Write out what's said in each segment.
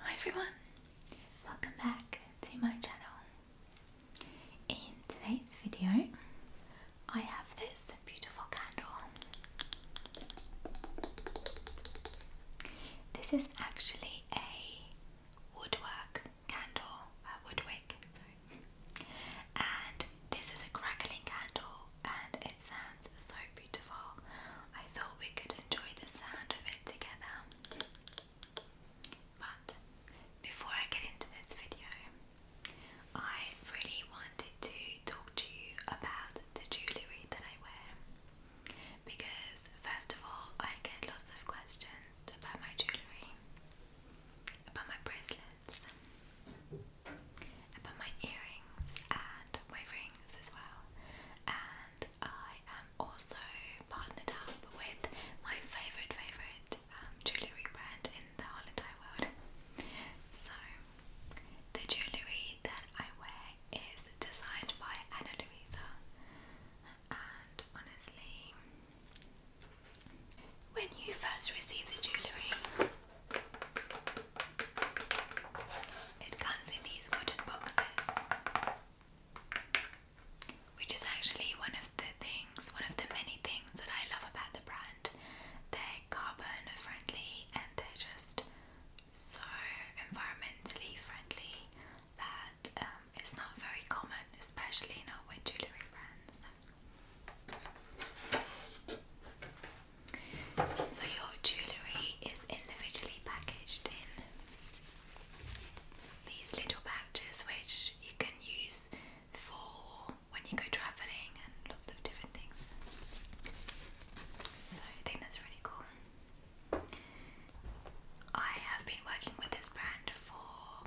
Hi everyone, welcome back to my channel. In today's video, I have this beautiful candle. This is actually a woodwork candle, woodwick, And this is a crackling candle and it sounds so beautiful. I thought we could enjoy the sound of it together. But before I get into this video, I really wanted to talk to you about the jewellery that I wear because, first of all, I get lots of questions about my jewellery, about my bracelets about my earrings and my rings as well. And I am also partnered up with my favourite, favourite um, jewellery brand in the whole world. So, the jewellery that I wear is designed by Anna Luisa. And honestly, when you first receive the jewellery, it comes in these wooden boxes, which is actually one of the things, one of the many things that I love about the brand. They're carbon friendly and they're just so environmentally friendly that um, it's not very common, especially not with jewellery brands. So your jewellery is individually packaged in these little pouches which you can use for when you go travelling and lots of different things. So I think that's really cool. I have been working with this brand for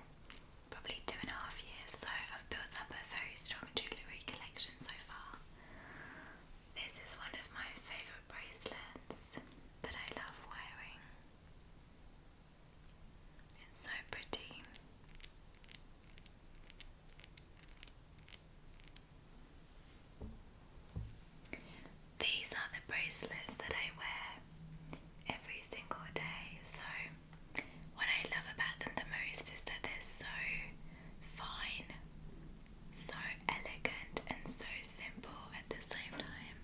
probably two and a half years, so I've built up a very strong jewellery collection so far. This is one of my favorite bracelets that I love wearing. It's so pretty. These are the bracelets that I wear every single day. So, what I love about them the most is that they're so fine so elegant and so simple at the same time.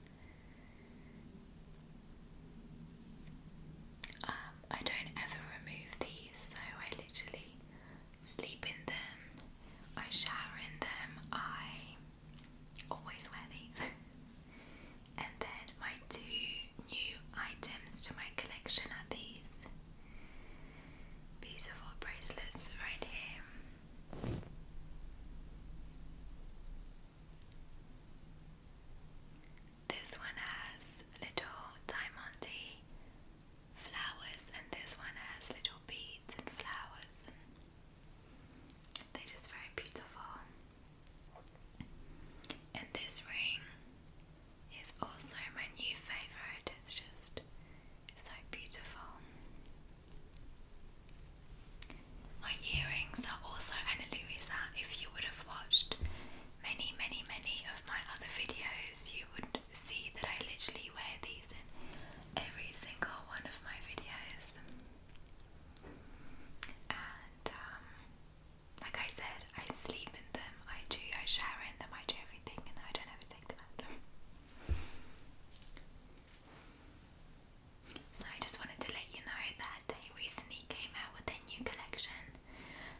Um, I don't ever remove these, so I literally sleep in them, I shower in them, I always wear these. and then my two new items to my collection are these beautiful bracelets right here. This one has little diamante flowers, and this one has little beads and flowers, they're just very beautiful. And this ring is also my new favourite. It's just so beautiful. My earrings are also Anna Louisa. If you would have watched many, many, many of my other videos, you would see that I literally wear these in every single one of my videos. And, um, like I said, I sleep in them, I do eyeshadow in them, I do everything, and I don't have so I just wanted to let you know that they recently came out with their new collection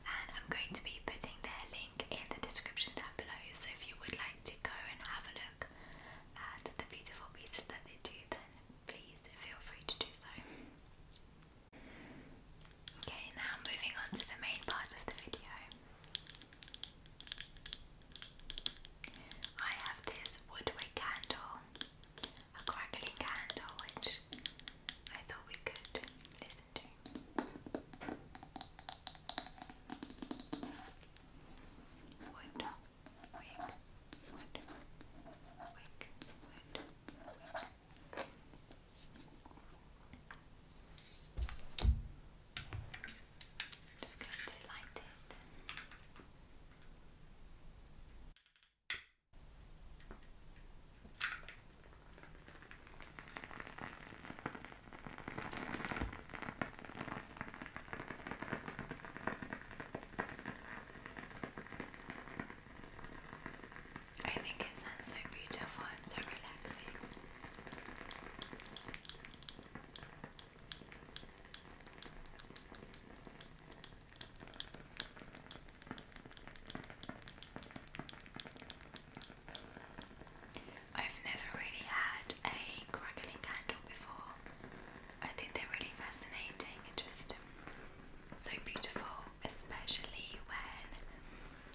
and I'm going to be putting their link in the description down below so if you would like to go and have a look at the beautiful pieces that they do then please feel free to do so. Okay, now moving on to the main part of the video. I have this woodwick candle, a crackling candle, which I thought we could listen to. Just going to light it. I think it sounds so beautiful and so relaxing. I've never really had a crackling candle before. I think they're really fascinating and just so beautiful, especially when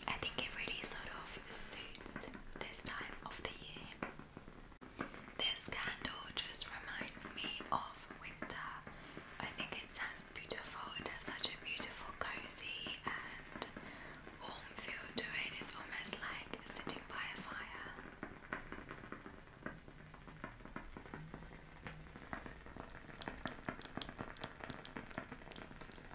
I think it really sort of suits this time of the year. This candle just reminds me of winter. I think it sounds beautiful. It has such a beautiful, cozy, and warm feel to it. It's almost like sitting by a fire.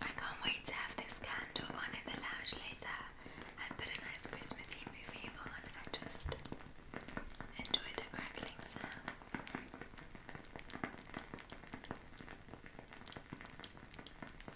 I can't wait to have this candle on in the lounge later and put a nice Christmassy movie on and just enjoy the crackling sounds.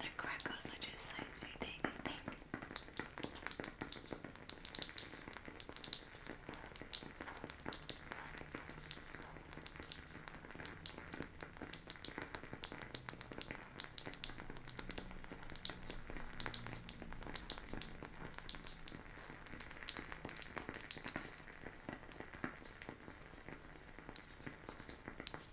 The crackles are just so soothing, I think. I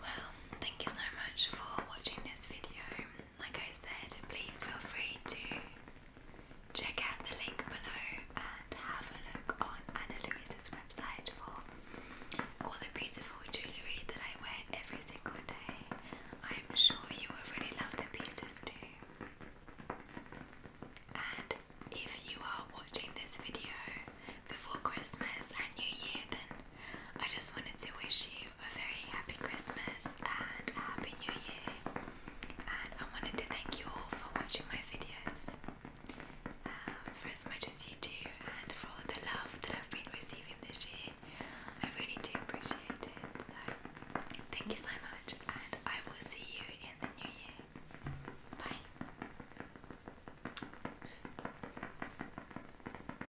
Well, thank you so much for watching this video. Like I said, please feel free to Check out the link below and have a look on Anna Louise's website for all the beautiful jewellery that I wear every single day. I'm sure you already love the pieces too. And if you are watching this video before Christmas and New Year, then I just wanted to wish you a very happy Christmas and happy New Year. I wanted to thank you all for watching my videos uh, for as much as you do and for all the love that I've been receiving this year I really do appreciate it so thank you so much and I will see you in the new year bye